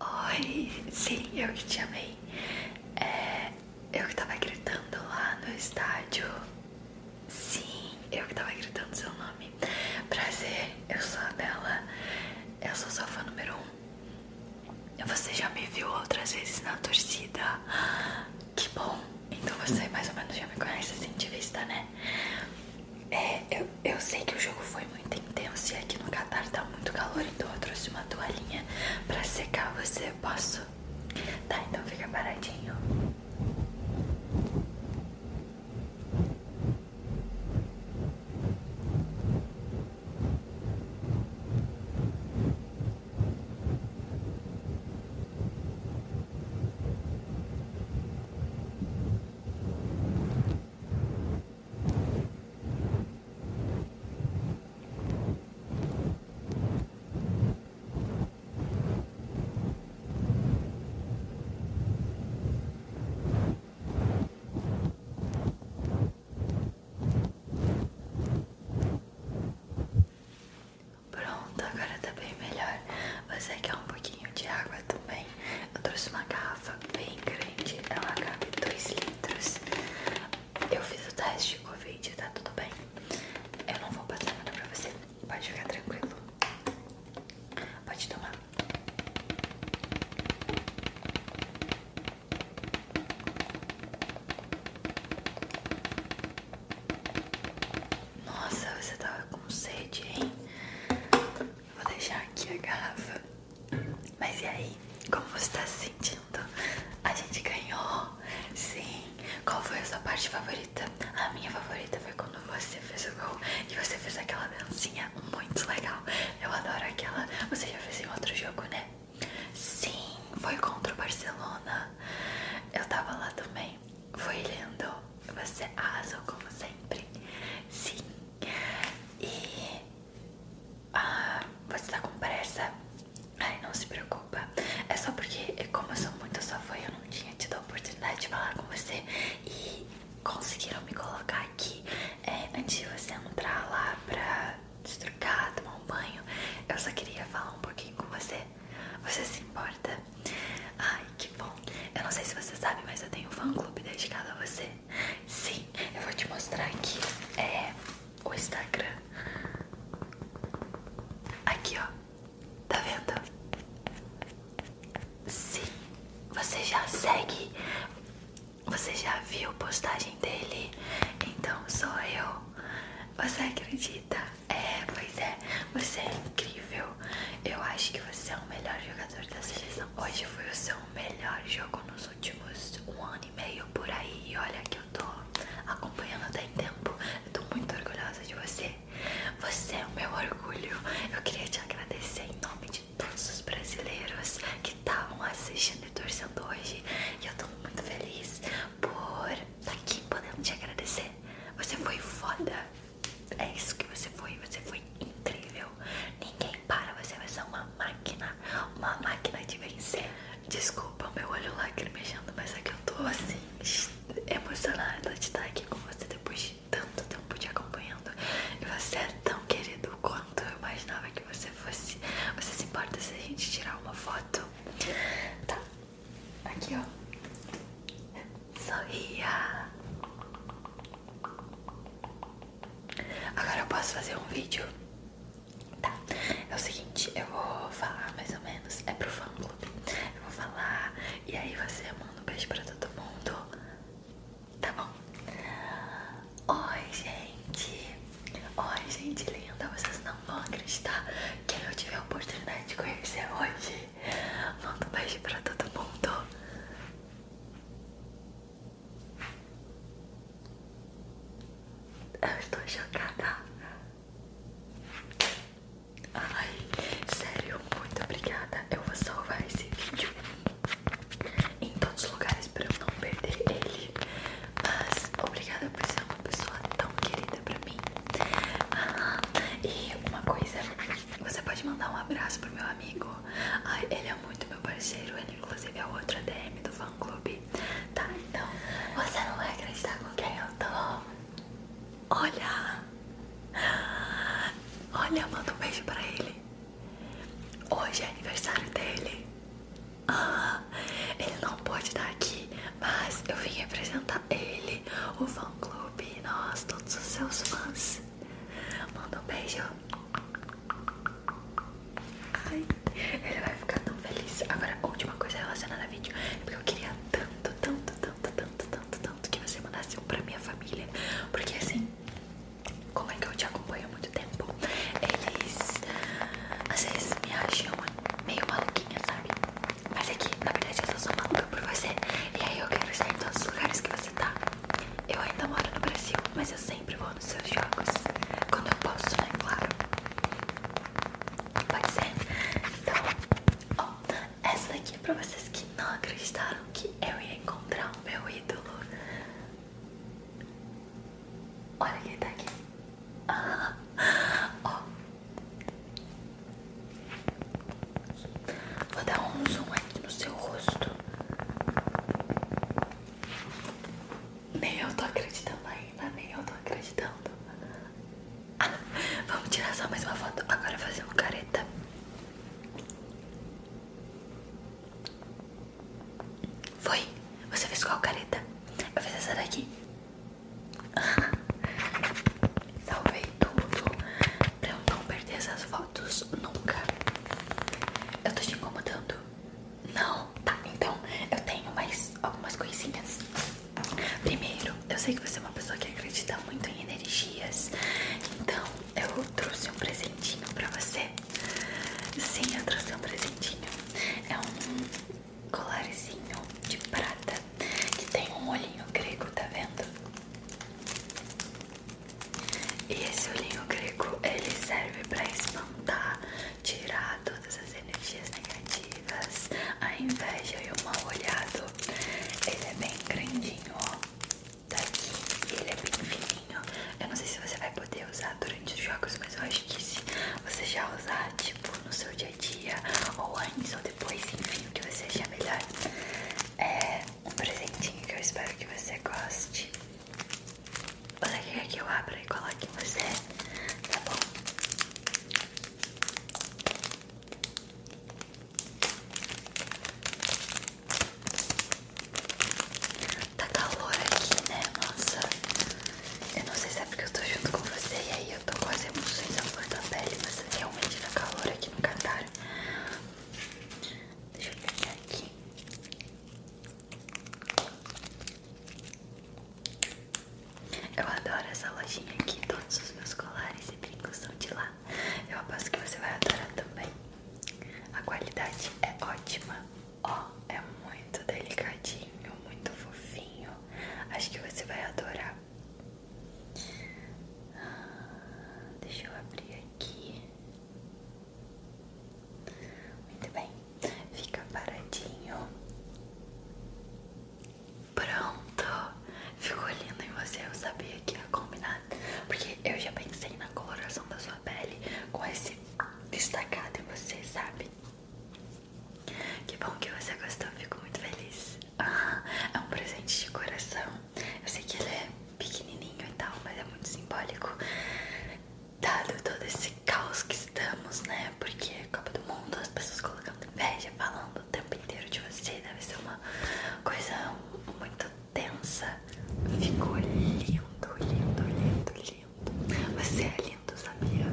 Oi, sim, eu que te amei. É, eu que tava gritando lá no estádio. Sim, eu que tava gritando seu nome. Prazer, eu sou a Bela. Eu sou sua fã número um. Você já me viu outras vezes na torcida. Que bom. Então você mais ou menos já me conhece assim de vista, né? É, eu, eu sei que o jogo foi muito intenso e aqui no Qatar tá muito calor, então eu trouxe uma toalhinha pra secar você. Posso? Tá, então fica paradinho. Tá Pronto, agora tá bem melhor. Você quer um pouquinho de água Tá tudo bem Eu trouxe uma garrafa bem grande, ela cabe 2 litros. Eu fiz o teste de Covid, tá tudo bem. Eu não vou passar nada pra você, pode ficar tranquilo. Pode tomar. Nossa, você tava com sede, hein? Vou deixar aqui a garrafa. Mas e aí? Como você tá se sentindo? A gente ganhou? Sim. Qual foi a sua parte favorita? A minha favorita foi quando você fez o gol e você fez aquela dancinha muito legal. Eu adoro aquela. Você já fez em outro jogo, né? Sim, foi contra o Barcelona. Eu tava lá também. Foi lindo. Você arrasou como sempre. Sim, e ah, você tá com pressa? Ai, não se preocupa. É só porque, como eu sou muito sua fã, eu não tinha tido a oportunidade de falar com você e conseguiram me colocar aqui é, antes de você entrar lá pra se trocar, tomar um banho. Eu só queria falar um pouquinho com você. Você se importa? Ai, que bom eu não sei se você sabe, mas eu tenho um fã clube dedicado a você. Sim, eu vou te mostrar aqui. É o Instagram. Aqui, ó. Tá vendo? Sim, você já segue. Você já viu postagem dele? Então sou eu. Você acredita? É, pois é. Você é incrível. Eu acho que você é o melhor jogador da seleção. Hoje foi o seu melhor jogo nos últimos um ano e meio por aí. E olha que eu tô acompanhando até tem tempo. Eu tô muito orgulhosa de você. Você é o meu orgulho. Eu queria te agradecer em nome de todos os brasileiros que estavam assistindo e torcendo hoje. E eu tô muito feliz por estar tá aqui podendo te agradecer. Você foi foda é isso que você foi, você foi incrível. Ninguém para, você você é uma máquina, uma máquina de vencer. Desculpa meu olho lá lacrimejando, mas é que eu tô assim, emocionada de estar aqui com você depois de tanto tempo te acompanhando. E você é tão querido quanto eu imaginava que você fosse. Você se importa se a gente tirar uma foto? Tá, aqui ó. Sorria. Agora eu posso fazer um vídeo? Tá. É o seguinte, eu vou falar mais ou menos. É pro fã clube. Eu vou falar e aí você manda um beijo pra todo mundo. Tá bom? Oi, gente. Oi, gente linda. Vocês não vão acreditar que eu tive a oportunidade de conhecer hoje. Manda um beijo pra todo mundo. Eu estou chocada. Ai, sério, muito obrigada. Eu vou salvar esse vídeo em todos os lugares pra eu não perder ele. Mas obrigada por ser uma pessoa tão querida pra mim. Ah, e uma coisa você pode mandar um abraço pro meu amigo. Ai, ele é muito meu parceiro. Ele, inclusive, é outro ADM do fã clube. Tá, então você não vai acreditar com quem eu tô. Olha, olha, manda um beijo pra ele. Hoje é aniversário dele. Ah, ele não pode estar aqui, mas eu vim representar ele, o fã Clube, nós, todos os seus fãs. Manda um beijo. Ai, ele vai ficar tão feliz. Agora, última coisa relacionada ao vídeo é porque eu queria tanto, tanto, tanto, tanto, tanto, tanto que você mandasse um pra minha família. Porque assim, como é que eu te acompanho há muito tempo, eles às vezes me acham meio maluquinha, sabe? Mas aqui é na verdade, eu sou maluca por você. E aí eu quero estar em todos os lugares que você tá. Eu ainda moro no Brasil, mas eu sempre vou nos seus jogos. Quando eu posso, né? Claro. Pode ser? Então, ó, essa daqui é pra vocês que não acreditaram que eu ia encontrar o meu ídolo. Olha quem tá aqui. Ah, ó, Vou dar um zoom aqui no seu rosto. Nem eu tô acreditando ainda, nem eu tô acreditando. Ah, vamos tirar só mais uma foto. Agora fazer fazendo careta. Foi? Você fez qual careta? Eu fiz essa daqui. Salvei tudo pra eu não perder essas fotos nunca. Eu tô te incomodando? Não? Tá, então eu tenho mais algumas coisinhas. Primeiro, eu sei que você é uma pessoa que acredita muito em energias, então eu trouxe um presentinho pra você. Sim, eu trouxe um presentinho. É um colarzinho de prata que tem um olhinho grego, tá vendo? E esse olhinho grego, ele serve pra espantar, tirar todas as energias negativas, a inveja e o mal olhado. Ele é bem grandinho, ó. Daqui, tá ele é bem fininho. Eu não sei se você vai poder usar durante os jogos, mas eu acho que se você já usar, tipo, no seu dia a dia, ou antes ou depois, enfim, o que você achar melhor. É um presentinho que eu espero que você goste. Você quer que eu abra e coloque em você? Tá bom? Tá calor aqui, né, nossa? Eu não sei se é porque eu tô junto com você e aí eu tô quase emoções à flor da pele, mas é realmente tá calor aqui no Catar. Deixa eu pegar aqui. Eu adoro essa lojinha aqui, todos os meus colares e brincos são de lá. Eu aposto que você vai adorar também. A qualidade é ótima. Ó, é muito delicadinho, muito fofinho. Acho que você vai adorar. Deixa eu abrir aqui. Muito bem, fica paradinho. Pronto, ficou lindo em você. Eu sabia que ia combinar, porque eu já pensei na coloração da sua pele com esse destacado em você, sabe? Que bom que você gostou, fico muito feliz. Ah, é um presente de coração. Eu sei que ele é pequenininho e tal, mas é muito simbólico. Dado todo esse caos que estamos, né? Porque Copa do Mundo, as pessoas colocando inveja, falando o tempo inteiro de você, deve ser uma coisa muito tensa. Ficou lindo, lindo, lindo, lindo. Você é lindo, sabia?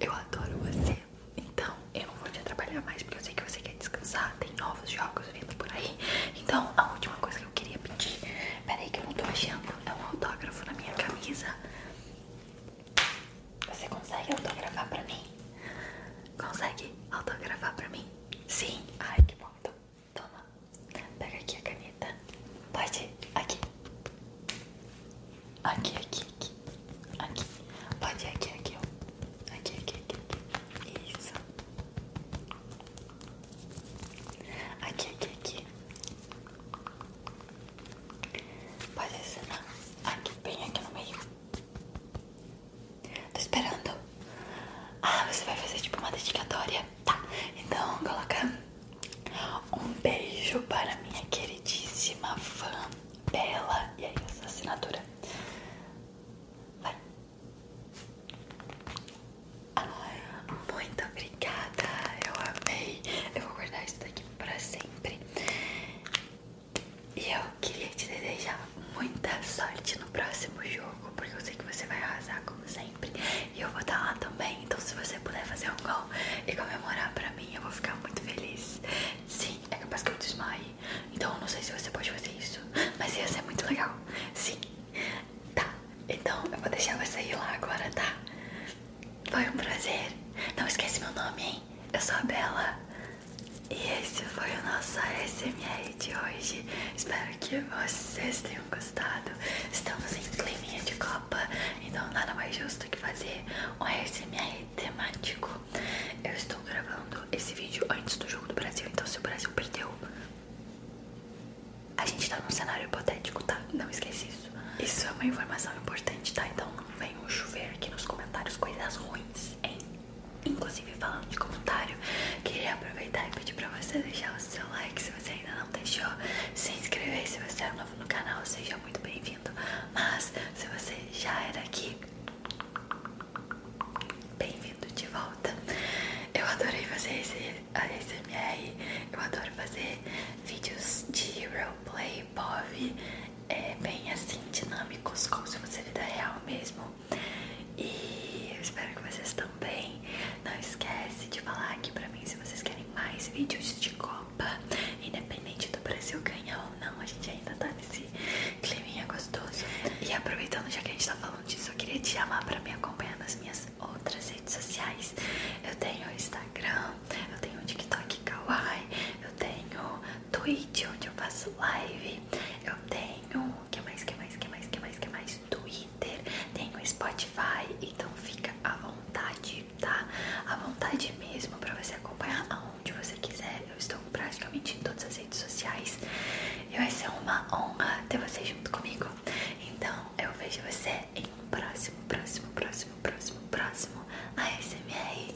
Eu adoro você. Então, eu não vou te atrapalhar mais, porque eu sei que você quer descansar. Tem novos jogos vindo por aí. Então, a última coisa que eu queria pedir. Peraí, que eu não tô achando. É um autógrafo na minha camisa. Você consegue autografar pra mim? Consegue autografar pra mim? Sim. Ai, que bom. Então. toma. Pega aqui a caneta. Pode. Aqui. Aqui, aqui, aqui. Aqui. Pode ir aqui, aqui, ó. Aqui, aqui, aqui, aqui. Isso. Aqui, aqui, aqui. Pode assinar. Aqui, bem aqui no meio. Tô esperando. Ah, você vai fazer tipo uma dedicatória. Tá. Então, coloca um beijo para minha queridíssima fã. Bela. E aí, essa assinatura. Vai. muito obrigada. Eu amei. Eu vou guardar isso daqui pra sempre. E eu queria te desejar muita sorte no próximo jogo, porque eu sei que você vai arrasar como sempre. E eu vou estar tá lá também, então se você puder fazer um gol e comemorar pra mim, eu vou ficar muito feliz. Sim, é capaz que eu desmaie. Então eu não sei se você pode fazer isso, mas ia ser muito legal. Sim, tá. Então eu vou deixar você ir lá agora, tá? Foi um prazer. Não esquece meu nome, hein? Eu sou a Bela. E esse foi o nosso SMR de hoje. Espero que vocês tenham gostado. Estamos em clima de copa. Então nada mais justo que fazer um ASMR temático. Eu estou gravando esse vídeo antes do jogo do Brasil, então se o Brasil perdeu, a gente tá num cenário hipotético, tá? Não esquece isso. Isso é uma informação importante, tá? Então não venham chover aqui nos comentários coisas ruins, hein? Inclusive falando de comentário, queria aproveitar e pedir pra você deixar o seu like se você ainda não deixou, se inscrever se você é novo no canal, seja muito bem-vindo. Mas se você já era aqui, bem-vindo de volta. Eu adorei fazer a SMR. Eu adoro fazer vídeos de roleplay, POV, é, bem assim, dinâmicos, como se fosse vida real mesmo. E eu espero que vocês também. Não esquece de falar aqui pra mim se vocês querem mais vídeos de cor independente do Brasil ganhar ou não, a gente ainda tá nesse climinha gostoso. E aproveitando já que a gente tá falando disso, eu queria te chamar pra me acompanhar nas minhas outras redes sociais. Eu tenho Instagram, eu tenho TikTok Kawaii, eu tenho Twitch onde eu faço live, eu tenho que mais, que mais, que mais, que mais, que mais, Twitter, tenho Spotify, então fica à vontade tá? À vontade mesmo para você acompanhar aonde você quiser. Eu estou praticamente em todas as redes sociais e vai ser uma honra ter você junto comigo. Então eu vejo você em um próximo, próximo, próximo, próximo, próximo ASMR.